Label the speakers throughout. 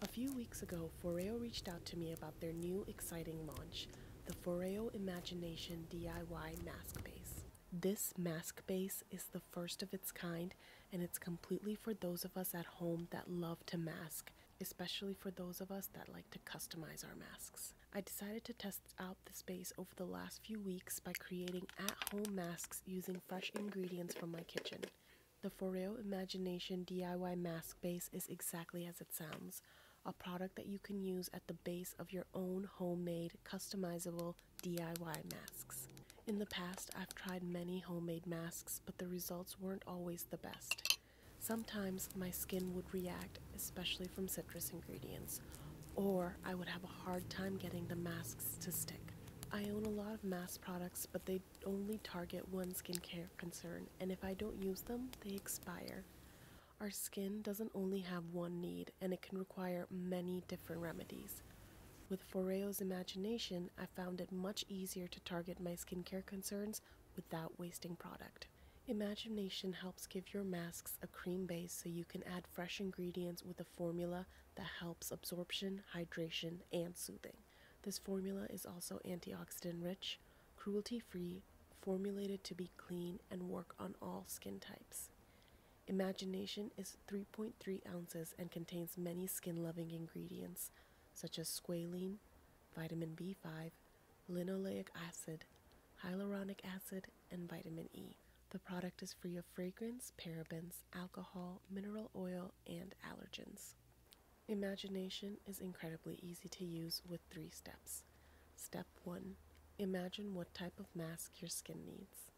Speaker 1: A few weeks ago, Foreo reached out to me about their new exciting launch, the Foreo Imagination DIY Mask Base. This mask base is the first of its kind, and it's completely for those of us at home that love to mask, especially for those of us that like to customize our masks. I decided to test out the space over the last few weeks by creating at home masks using fresh ingredients from my kitchen. The Foreo Imagination DIY mask base is exactly as it sounds a product that you can use at the base of your own homemade, customizable DIY masks. In the past, I've tried many homemade masks, but the results weren't always the best. Sometimes my skin would react, especially from citrus ingredients, or I would have a hard time getting the masks to stick. I own a lot of mask products, but they only target one skincare concern, and if I don't use them, they expire. Our skin doesn't only have one need, and it can require many different remedies. With Foreo's imagination, I found it much easier to target my skincare concerns without wasting product. Imagination helps give your masks a cream base so you can add fresh ingredients with a formula that helps absorption, hydration, and soothing. This formula is also antioxidant rich, cruelty free, formulated to be clean, and work on all skin types. Imagination is 3.3 ounces and contains many skin loving ingredients such as squalene, vitamin B5, linoleic acid, hyaluronic acid, and vitamin E. The product is free of fragrance, parabens, alcohol, mineral oil, and allergens. Imagination is incredibly easy to use with three steps. Step 1 Imagine what type of mask your skin needs.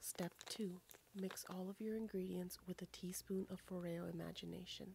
Speaker 1: Step 2 Mix all of your ingredients with a teaspoon of Foreo Imagination.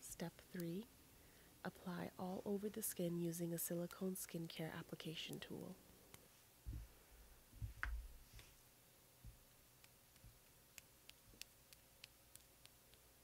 Speaker 1: Step 3. Apply all over the skin using a silicone skincare application tool.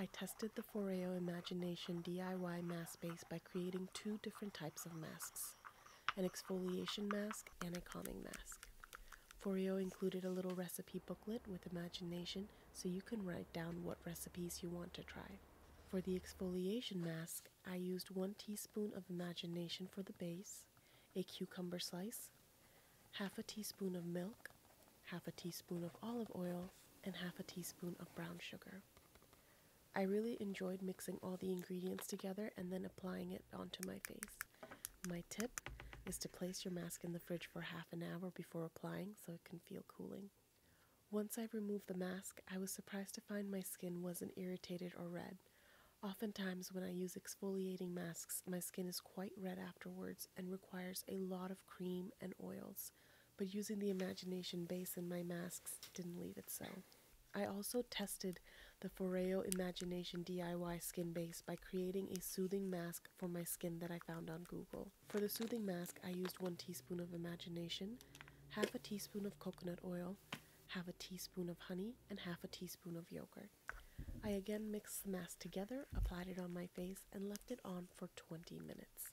Speaker 1: I tested the Foreo Imagination DIY mask base by creating two different types of masks, an exfoliation mask and a calming mask. Forio included a little recipe booklet with imagination so you can write down what recipes you want to try. For the exfoliation mask, I used 1 teaspoon of imagination for the base, a cucumber slice, half a teaspoon of milk, half a teaspoon of olive oil, and half a teaspoon of brown sugar. I really enjoyed mixing all the ingredients together and then applying it onto my face. My tip is to place your mask in the fridge for half an hour before applying so it can feel cooling. Once I removed the mask, I was surprised to find my skin wasn't irritated or red. Oftentimes, when I use exfoliating masks, my skin is quite red afterwards and requires a lot of cream and oils, but using the Imagination base in my masks didn't leave it so. I also tested the Foreo Imagination DIY skin base by creating a soothing mask for my skin that I found on Google. For the soothing mask, I used one teaspoon of imagination, half a teaspoon of coconut oil, half a teaspoon of honey, and half a teaspoon of yogurt. I again mixed the mask together, applied it on my face, and left it on for 20 minutes.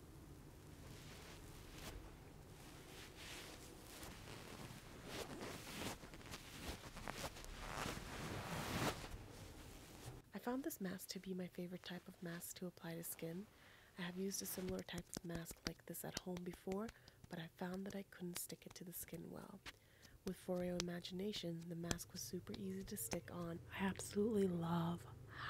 Speaker 1: I found this mask to be my favorite type of mask to apply to skin. I have used a similar type of mask like this at home before, but I found that I couldn't stick it to the skin well. With Foreo Imagination, the mask was super easy to stick on. I absolutely love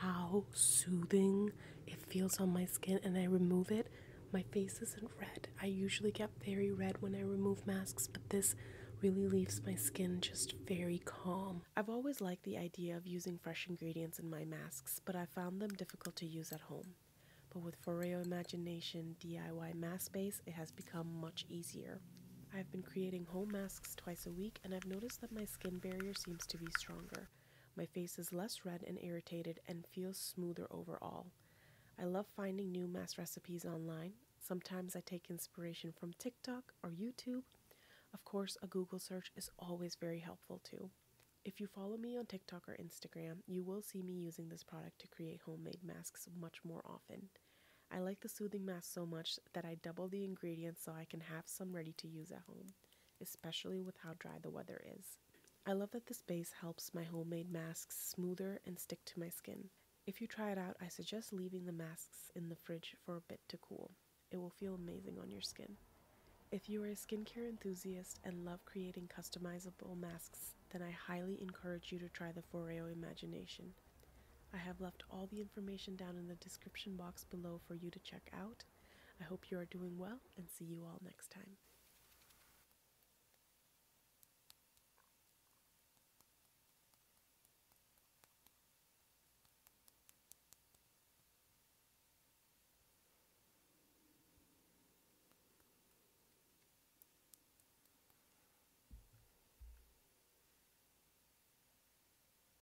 Speaker 1: how soothing it feels on my skin and I remove it. My face isn't red. I usually get very red when I remove masks, but this really leaves my skin just very calm. I've always liked the idea of using fresh ingredients in my masks, but I found them difficult to use at home. But with Foreo Imagination DIY Mask Base, it has become much easier. I've been creating home masks twice a week and I've noticed that my skin barrier seems to be stronger. My face is less red and irritated and feels smoother overall. I love finding new mask recipes online. Sometimes I take inspiration from TikTok or YouTube. Of course, a Google search is always very helpful too. If you follow me on TikTok or Instagram, you will see me using this product to create homemade masks much more often. I like the soothing mask so much that I double the ingredients so I can have some ready to use at home, especially with how dry the weather is. I love that this base helps my homemade masks smoother and stick to my skin. If you try it out, I suggest leaving the masks in the fridge for a bit to cool. It will feel amazing on your skin. If you are a skincare enthusiast and love creating customizable masks, then I highly encourage you to try the Foreo Imagination. I have left all the information down in the description box below for you to check out. I hope you are doing well and see you all next time.